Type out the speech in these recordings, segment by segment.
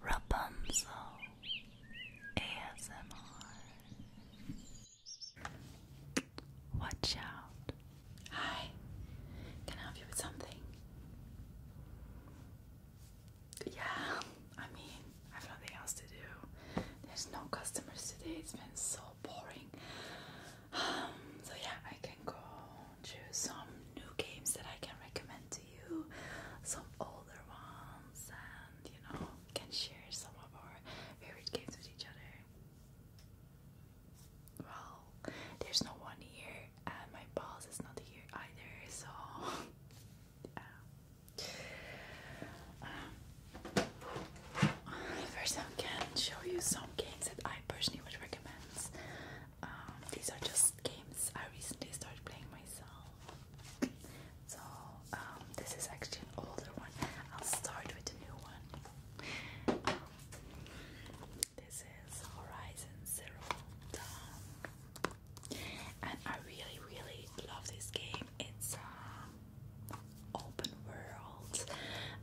Rapunzel ASMR. Watch out. Hi, can I help you with something? Yeah, I mean, I have nothing else to do. There's no customers today, it's been so boring. so, yeah, I can go choose some new games that I can recommend to you, some older ones, and you know, can share some of our favorite games with each other. Well, there's no one here, and my boss is not here either, so yeah. Um, first, I can show you some games that I personally would recommend um, these are just games I recently started playing myself. So um, this is actually an older one. I'll start with a new one. this is Horizon Zero Dawn, and I really, really love this game. It's um, open world,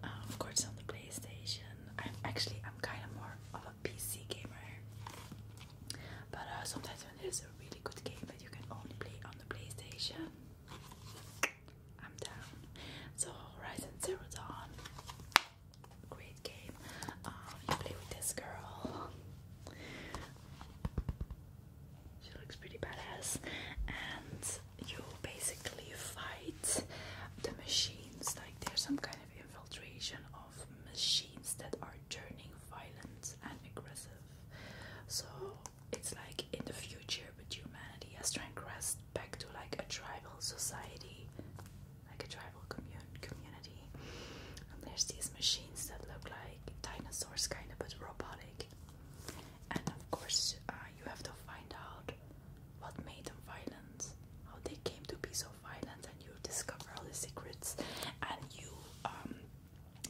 of course, on the PlayStation. I'm actually I'm kind of more of a PC gamer. But uh, sometimes when there's a really good game that you can only play on the PlayStation, I'm down. So Horizon Zero Dawn, great game. Um, you play with this girl. She looks pretty badass, and you basically fight the machines. Like there's some kind of infiltration machines that are turning violent and aggressive. So it's like in the future, but humanity has transgressed back to like a tribal society, like a tribal community. And there's these machines that look like dinosaurs, kind of, but robotic. And of course, uh, you have to find out what made them violent how they came to be so violent, and you discover all the secrets. And you, um,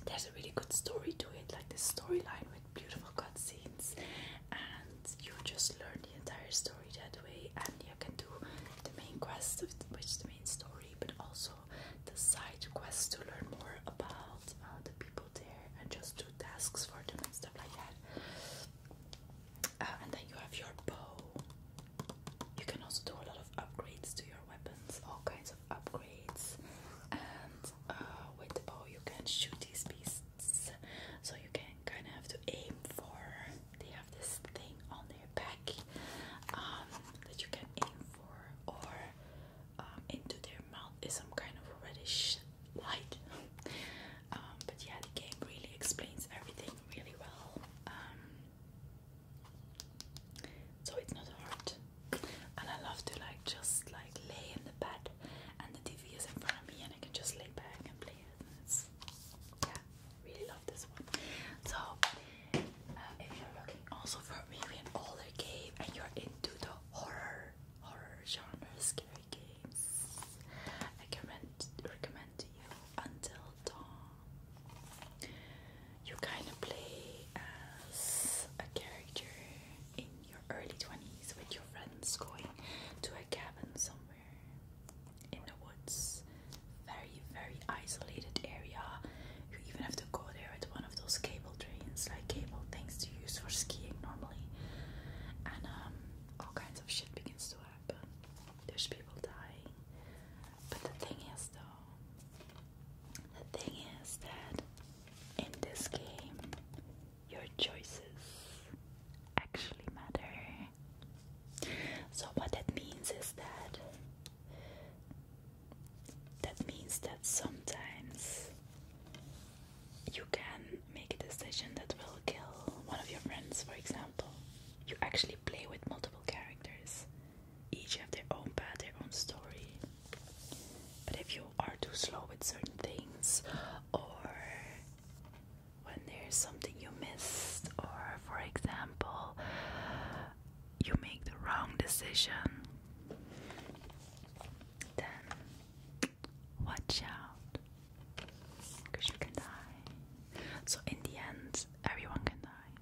there's a really good story to it, like the storyline with beautiful cutscenes, and you just learn the entire story that way. And you can do the main quest, which is the main story, but also the side quests to learn more about uh, the people there and just do tasks for them and stuff like that. Uh, and then you have your bow. You can also do a lot of upgrades to your weapons, all kinds of upgrades. And uh, with the bow, you can shoot these beasts. So you can kind of have to aim for. They have this thing on their back um, that you can aim for, or um, into their mouth is some kind of reddish light. Um, but yeah, the game really explains everything really well so it's not hard. And I love to like just like lay in the bed and the TV is in front of me and I can just lay back and play it. And it's, yeah, really love this one. So uh, if you're looking also for maybe an older game and you're into the horror horror genre, scary games, I can recommend to you Until you kind of play as a character in your early 20s with your friends going to a cabin somewhere in the woods. Very, very isolated area. You even have to go there with one of those cable trains, like cable things to use for skiing normally. And um, all kinds of shit begins to happen. There's people dying, but the thing is, though, the thing is that in this game, your choices actually matter. So, what that means is that that means that sometimes you can make a decision that will kill one of your friends, for example you actually play with multiple characters. Each have their own path, their own story. But if you are too slow with certain things, or when there's something you missed, or for example, you make the wrong decision, then watch out because you can die. So, in the end, everyone can die,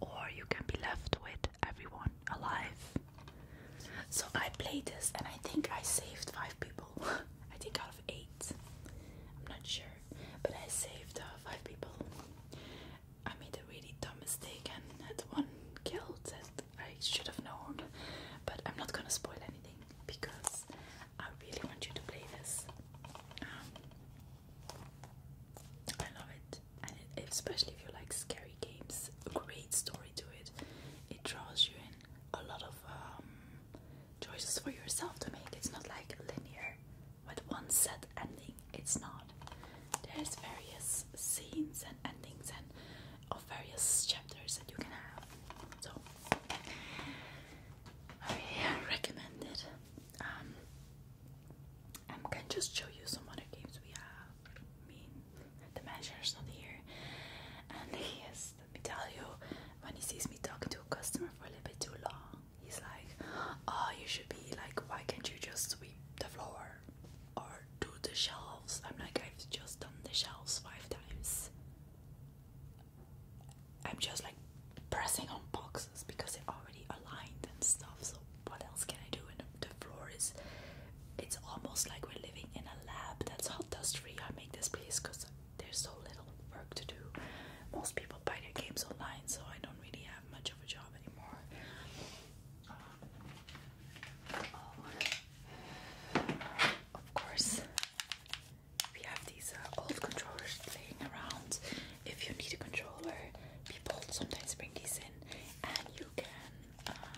or you can be left with everyone alive. So I played this, and I think I saved five people. I think out of eight, I'm not sure, but I saved uh, five people. I made a really dumb mistake and had one killed that I should have known, but I'm not gonna spoil anything because I really want you to play this. Um, I love it, and especially if you like scary games, a great story to it. It draws you in a lot of um, choices for yourself to make. It's not like linear with one set ending. It's not. There's various scenes and endings and of various chapters that you can have. So I recommend it. Um, I can just show you some other games we have. I mean, the manager's not here, and he is. Let me tell you, when he sees me talking to a customer for a little bit too long, he's like, "Oh, you should be like, why can't you just sweep the floor or do the shelves?" I'm like, "I've just done the shelves five times." I'm just like pressing on boxes because they're already aligned and stuff. So what else can I do? And the floor is it's almost like we're living in a lab. That's how dust free I make this place because there's so little work to do. Most people buy their games online, so I don't really have much of a job anymore. Of course, we have these uh, old controllers laying around. If you need a controller, people sometimes bring these in, and you can um,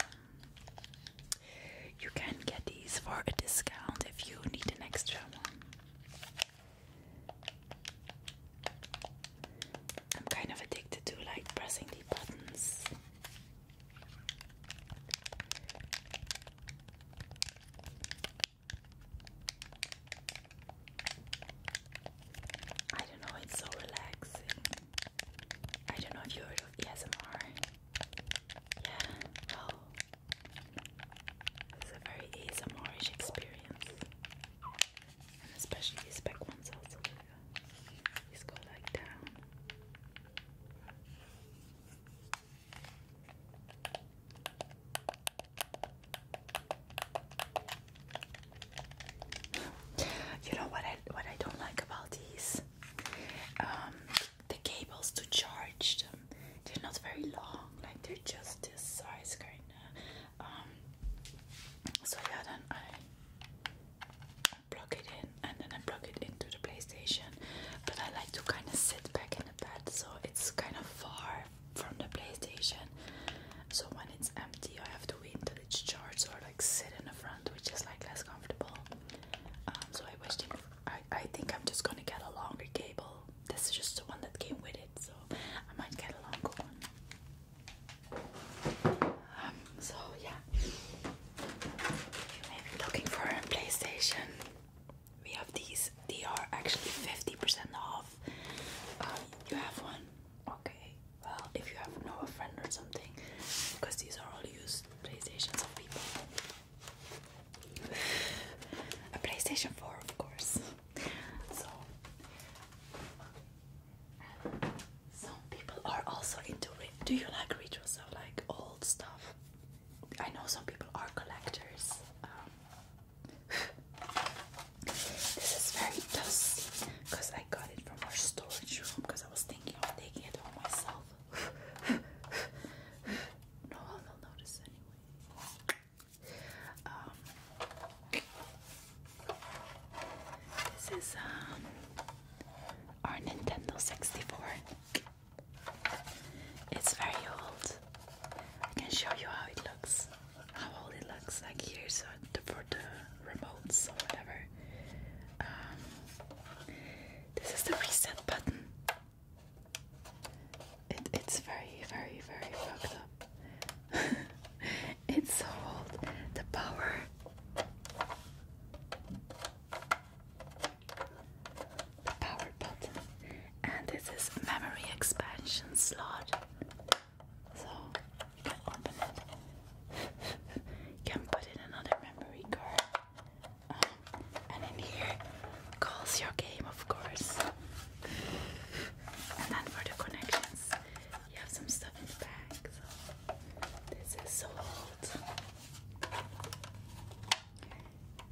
you can get these for a discount if you need an extra one. I'm kind of addicted to like pressing the buttons. I don't know, it's so relaxing. I don't know if you heard of ASMR. Yeah, well, it's a very asmr experience. And especially these back ones also. These go like down. You know what I what I don't like about these? Um, the cables to charge them. They're not very long. Like they're just this size kinda. Um, so yeah, then I plug it in and then I plug it into the PlayStation. But I like to kind of sit back and so it's kind of far from the PlayStation. So when it's empty, I have to wait until it's charged or like sit in the front, which is like less comfortable. Um, so I wish I, I think I'm just gonna get a longer cable. This is just the one that came with it, so I might get a longer one. Um, so yeah, you may be looking for a PlayStation we have these. They are actually 50% off. Um, you have one? Okay. Well, if you have no a friend or something, because these are all used PlayStations of people. a PlayStation 4, of course. So, some people are also into Do you like retro stuff, like old stuff? I know some people are collectors. Um, this is very dusty because I got it from our storage room because I was thinking of taking it home myself. no one will notice anyway. Um, this is um, our Nintendo 64. It's very old. I can show you how it looks. How old it looks. Like here's a, for the remotes or whatever. Um, this is the reset button. it's very, very, very fucked up. it's so old. The power the power button, and this is memory expansion slot. So you can open it. you can put in another memory card, um, and in here calls your game, of course. and then for the connections, you have some stuff in the back. So this is so old.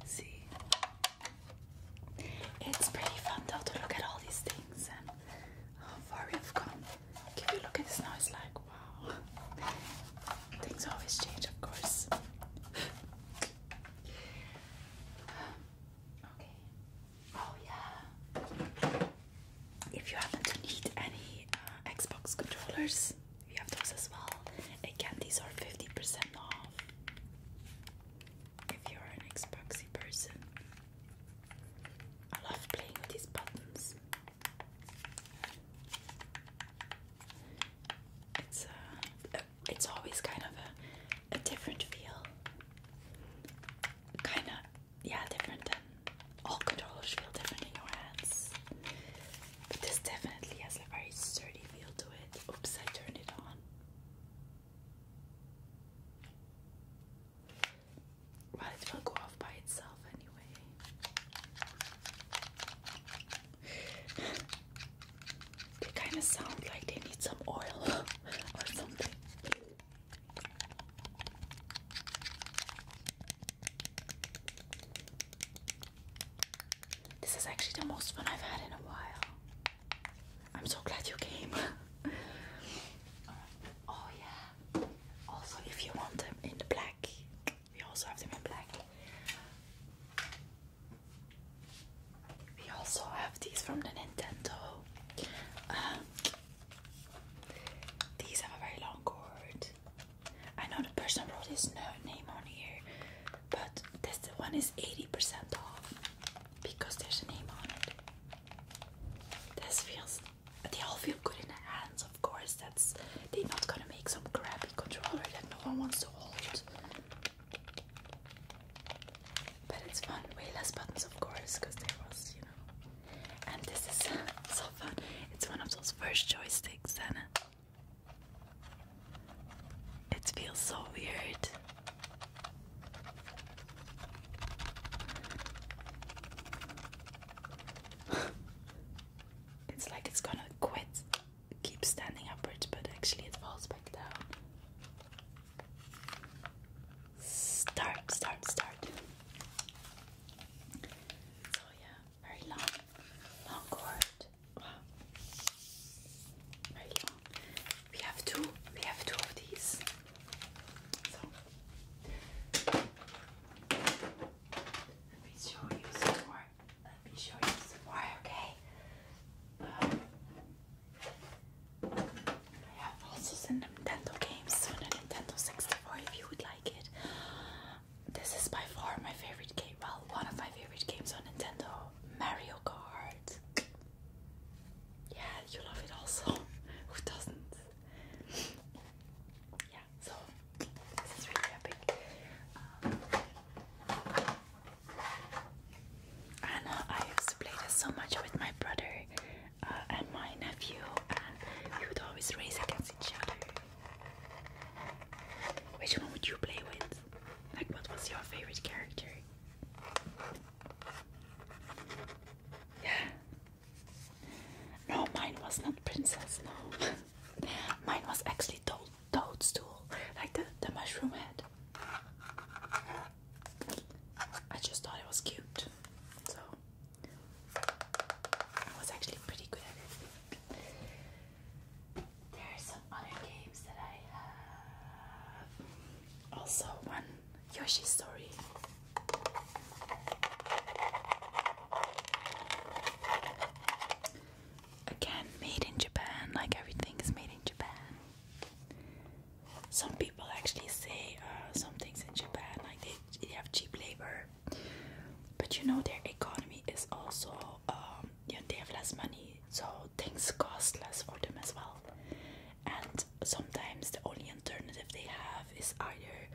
See, it's pretty fun though to look at all these things and how far we've come. If you look at this now, it's like wow. Things always change, of course. okay. Oh yeah. If you happen to need any uh, Xbox controllers, we have those as well. Again, these are 50% off if you're an Xboxy person. I love playing with these buttons. It's uh, it's always kind of a, a different feel. Kind of, yeah, different than all controllers feel different in your hands. But this definitely has a very sturdy feel to it. Oops, I turned it on. Well, it will go off by itself anyway. they kind of sound like they need some oil or something. This is actually the most fun I've had in a while. I'm so glad you came. oh yeah. Also, if you want them in the black, we also have them in black. We also have these from the Nintendo. Um, these have a very long cord. I know the person wrote his name on here, but this one is 80% off because there's a name on it. This feels they all feel good in the hands, of course. That's they're not gonna make some crappy controller that no one wants to hold. But it's fun. Way less buttons, of course, because there was, you know. And this is so fun. It's one of those first joysticks, and it feels so weird. it's like it's gonna quit. It standing upwards, but actually it falls back down. Start, start, start. So yeah, very long, long cord. We have two. We have two of these. let me show you some more. Let me show you some more. Okay. Um, I have also some Nintendo games on Nintendo 64 if you would like it. This is by far my favorite game. Well, one of my favorite games on Nintendo Mario Kart. Yeah, you love it also. Who doesn't? Yeah, so this is really epic. Um, I used to play this so much with my brother uh, and my nephew, we would always race against each other. Which one would you play with? Like, what was your favorite character? Yeah. No, mine was not princess. No, mine was actually toadstool, like the the mushroom head. I just thought it was cute, so I was actually pretty good at it. There are some other games that I have. Also, one Yoshi story. Again, made in Japan, like everything is made in Japan. Some people actually say uh, some things in Japan, like they, have cheap labor, but you know, their economy is also um, they have less money, so things cost less for them as well. And sometimes the only alternative they have is either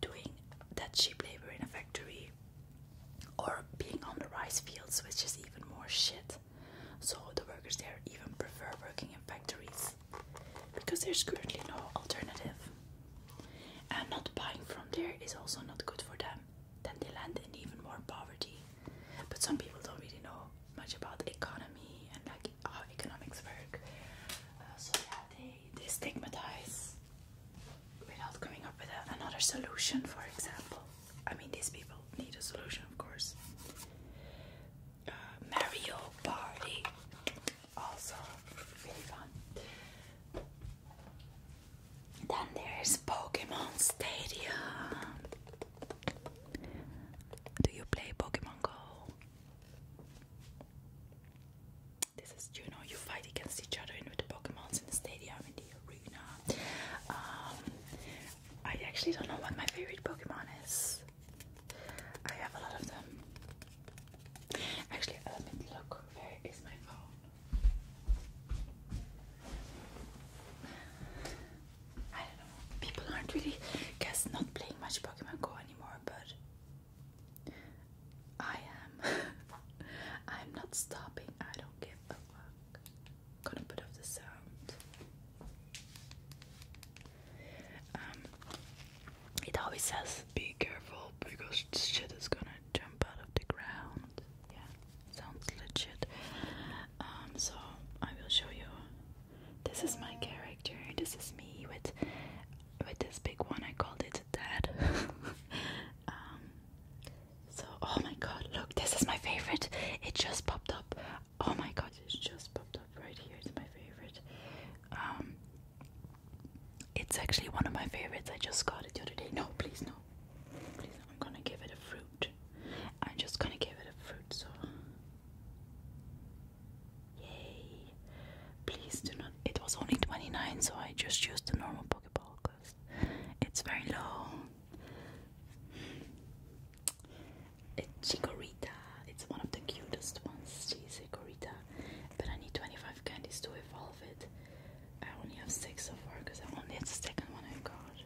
doing that cheap labor in a factory or being on the rice fields, which is even more shit. So the workers there even prefer working in factories because there's currently no alternative. And not buying from there is also not good for them then they land in even more poverty. But some people don't really know much about the economy and like how economics work. Uh, so yeah, they, stigmatize without coming up with another solution, for example. I mean, these people need a solution, of course. Uh, Mario Party, also really fun. Then there's Pokemon Stadium. Do you play Pokemon Go? This is you know You fight against each other with the Pokemons in the stadium, in the arena. Um, I actually don't know what my favorite Pokemon is. I have a lot of them. Actually, uh, let me look. Where is my phone? I don't know. People aren't really, guess, not playing much Pokemon Go anymore, but I am. I'm not stopping. I don't give a fuck. Gonna put off the sound. Um, it always says, "Be careful because shit is gonna jump out of the ground." Yeah sounds legit. Um, so I will show you. This is my character. This is me with with this big one. I called it Dad. Um, so oh my god, look, this is my favorite. It just popped up. Oh my god, it just popped up right here. It's my favorite. Um, it's actually one of my favorites. I just got it the other day. No, please no. I'm gonna give it a fruit. I'm just gonna give it a fruit, so. Yay! Please do not. It was only 29, so I just used the normal Pokeball because it's very low. It's Chikorita. It's one of the cutest ones. She's Chikorita. But I need 25 candies to evolve. I only have six so far because I only had the second one I got.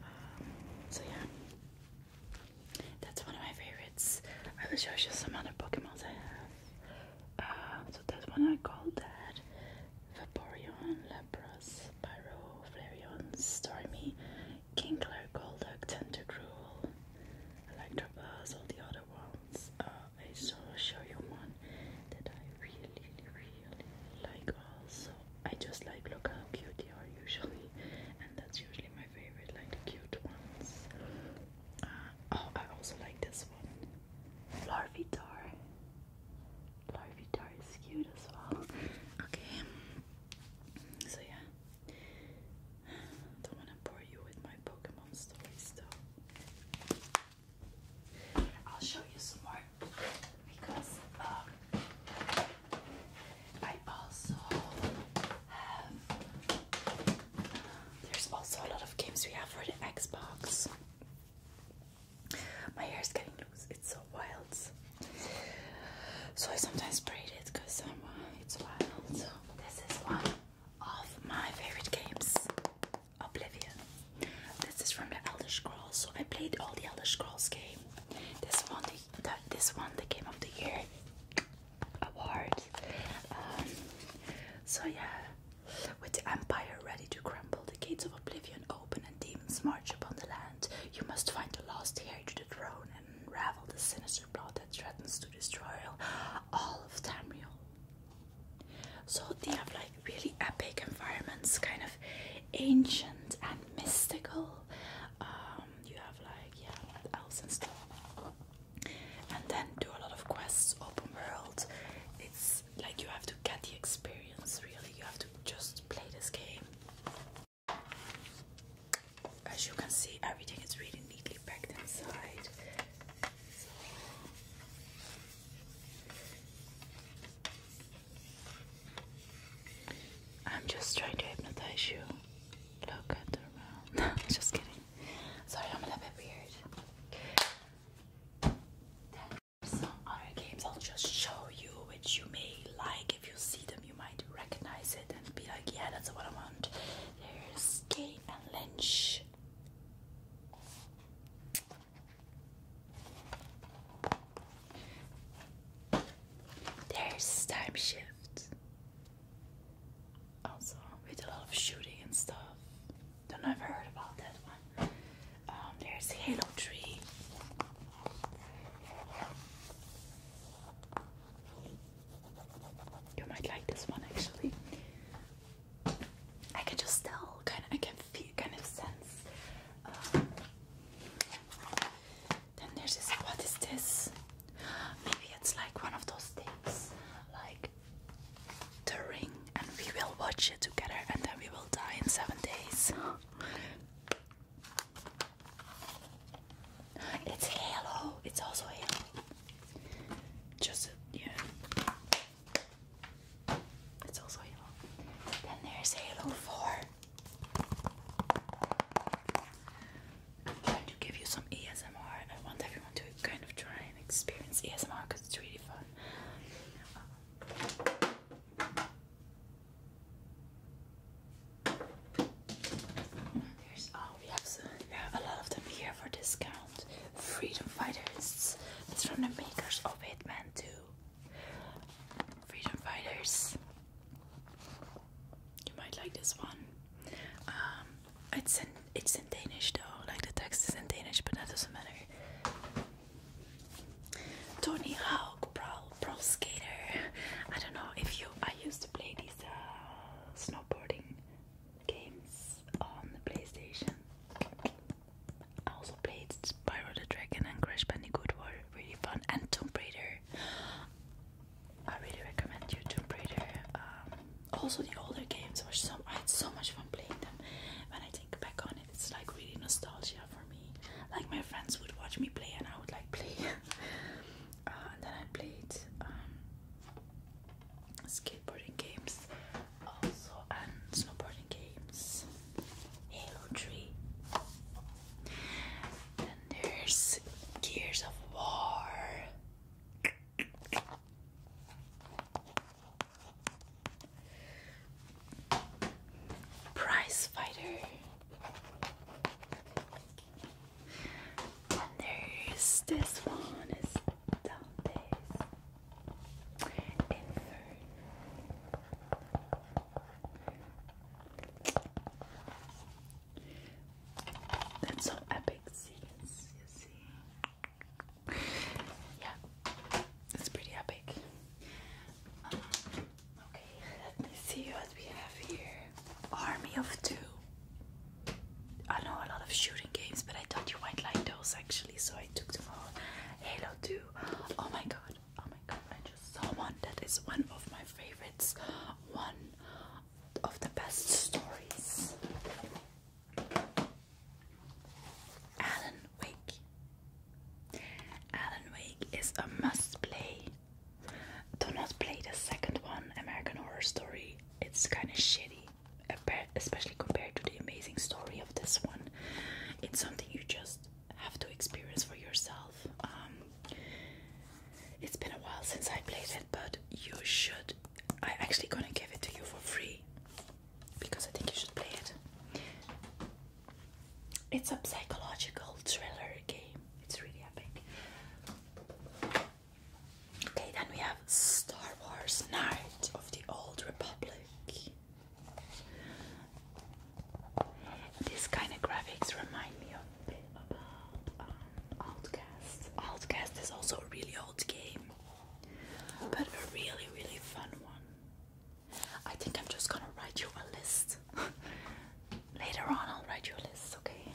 Um, so yeah, that's one of my favorites. I will show you some other Pokémon I have. Uh, so that's one I called that. Vaporeon, Lapras, Pyro, Flareon, Stormy, Kinkler, Golduck, Tentacruel, Electabuzz, all the other ones. Uh, okay so I'll show you one that I really really like also I just like look how cute they are usually and that's usually my favorite like the cute ones uh, oh I also like this one Larvitar Larvitar is cute as well okay so yeah don't wanna bore you with my Pokemon stories though I'll show you some more because um, I also have. There's also a lot of games we have for the Xbox. My hair is getting loose, it's so wild. So I sometimes braid it because uh, it's wild. So this is one of my favorite games. Oblivion. This is from the Elder Scrolls. So I played all the Elder Scrolls game. This one, the, this one, the Game of the Year award. Um, so yeah, with the Empire ready to crumble, the gates of Oblivion open, and demons march upon the land. You must find the lost heir to the throne and unravel the sinister plot that threatens to destroy all of Tamriel. So they have like really epic environments, kind of ancient and mystical. Um, you have like yeah, what else and stuff, and then do a lot of quests, open world. It's like you have to get the experience. Really, you have to just play this game. As you can see, everything is really neatly packed inside. I'm just trying to hypnotize you. Look at just kidding. Sorry, I'm a bit weird. some other games I'll just show you, which you may like. If you see them, you might recognize it and be like, yeah, that's what I want. There's Kane and Lynch. There's time shift. Also, with a lot of shooting and stuff. Don't know heard about that one. Um, there's Halo 3. You might like this one actually. I can just tell, kind of, I can feel, kind of sense. Um, then there's this. What is this? Maybe it's like one of those things, like The Ring, and we will watch it together, and then we will die in seven days. It's Halo. It's also Halo. Just a, yeah. It's also Halo. Then there's Halo 4. I'm trying to give you some ASMR. I want everyone to kind of try and experience ASMR because it's really fun. There's oh, we have some, yeah, a lot of them here for discount. Freedom Fighters. It's from the makers of Hitman 2. Freedom Fighters. You might like this one. Um, it's in it's in Danish though. Like the text is in Danish, but that doesn't matter. Tony Hawk Pro Pro Skater. I don't know if you. I used to play these uh, snowboarding games on the PlayStation. I also played Spyro the Dragon and Crash Bandicoot were really fun, and Tomb Raider. I really recommend you Tomb Raider. Um, also, the older games were so I had so much fun playing them. When I think back on it, it's like really nostalgia for me. Like my friends would watch me play, and I would like play. and uh, then I played. Um, skateboarding games also and snowboarding games. Halo 3. Then there's Gears of War. Prize Fighter. And there's this one is down that's some epic Yeah, it's pretty epic. Um, okay, let me see what we have here. Army of Two. I know a lot of shooting games, but I thought you might like those actually so I took them all. Halo 2. Oh my god. Oh my god. I just saw one that is one of my favorites. One of the best stories. Alan Wake. Alan Wake is a must play. Do not play the second one, American Horror Story. It's kind of shitty especially compared to the amazing story of this one. It's something you just have to experience for yourself. Um, it's been a while since I played it, but you should. I'm actually gonna give it to you for free because I think you should play it. It's a psychological thriller game. It's really epic. Okay, then we have Star Wars Knight of the Old Republic. This kind of graphics remind me of um, Outcast. Outcast is also a really old game, but a really, really fun one. I think I'm just gonna write you a list. Later on, I'll write you a list, okay?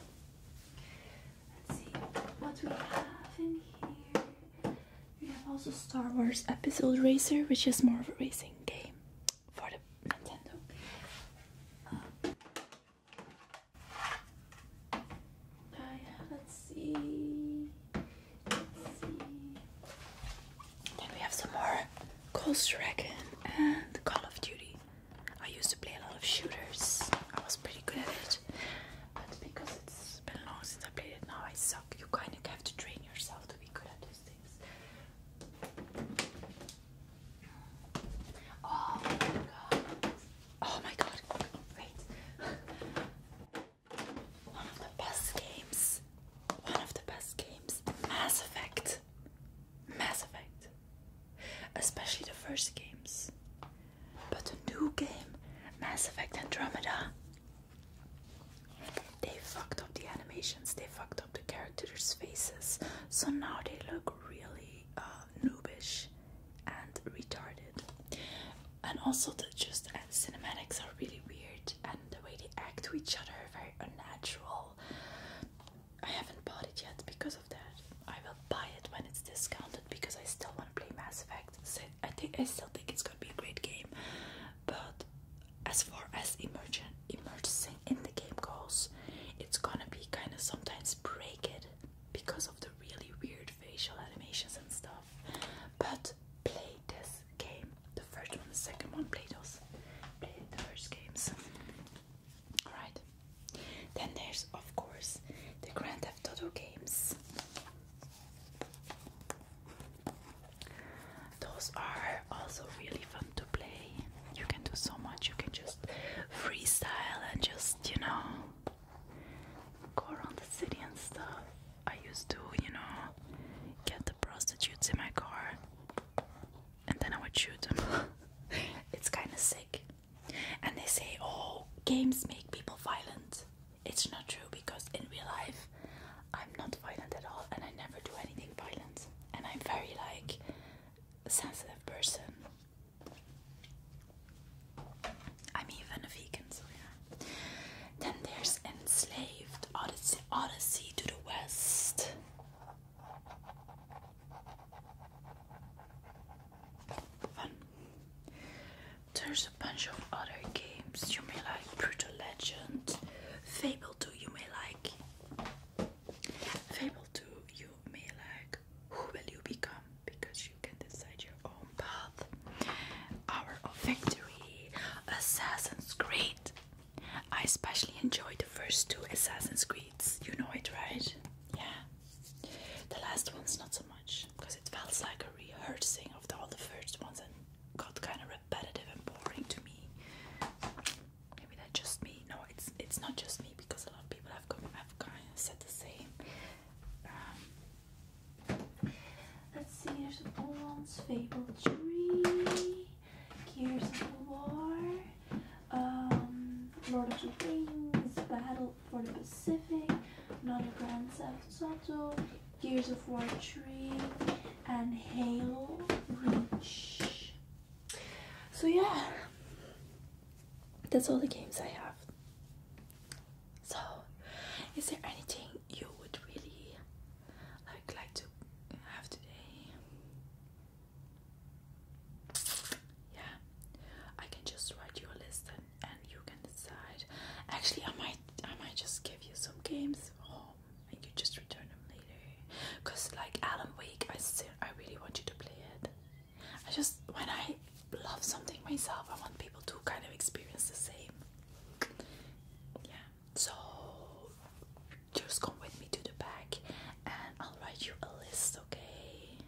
Let's see what we have in here. We have also Star Wars Episode Racer, which is more of a racing game for the Nintendo. Uh, let's see. Let's see. Then we have some more Ghost Dragon and Call of Duty. I used to play a lot of shooters. I was pretty good at it but because it's been long since I played it, now I suck. You kind of have to train yourself to be good at these things. Oh my god! Oh my god! One of the best games. One of the best games. Mass Effect. Mass Effect. Especially the first games. But the new game, Mass Effect Andromeda, they fucked up the animations, they fucked up the characters' faces, so now they look really uh, noobish and retarded. And also, the just uh, cinematics are really weird, and the way they act to each other are very unnatural. I haven't bought it yet because of that. I will buy it when it's discounted because I still want to play Mass Effect. I think I still think it's gonna be a great game. But as far as immersion, immersing in the game goes, it's gonna be kind of sometimes break it because of the really weird facial animations and stuff. But play this game, the first one, the second one, play those, play the first games. Alright. Then there's of course the Grand Theft games. Those are also really fun to play. You can do so much. You can just freestyle and just, you know, go around the city and stuff. I used to, you know, get the prostitutes in my car and then I would shoot them. it's kind of sick and they say, oh, games make people violent. It's not true because in real life, I'm not violent at all, and I never do anything violent. And I'm very like a sensitive person. I'm even a vegan, so yeah. Then there's enslaved Odyssey, Odyssey to the West. Fun. There's a bunch of other games you may like Brutal Legend, Fable 2 you may like. Fable 2 you may like Who Will You Become? Because you can decide your own path. Hour of Victory, Assassin's Creed. I especially enjoy the first two Assassin's Creeds. You know it, right? Yeah. The last one's not so much because it felt like a rehearsing of all the first ones and got kind of repetitive and boring to me. Maybe that's just me. No, it's it's not just me because a lot of people have come, have kind of said the same. Um, let's see. There's Fable Tree. Gears War. Um, Lord of the Rings. Battle for the Pacific, another Grand Theft Auto, Gears of War 3, and Halo Reach. So yeah, that's all the games I have. So, is there anything you would really like like to have today? Yeah, I can just write your list and and you can decide. Actually, I might I might just give you some games home and you just return them later. Cause like Alan Wake, I still I really want you to play it. I just when I love something myself, I want people to kind of experience the same. Yeah. So just come with me to the back and I'll write you a list, okay?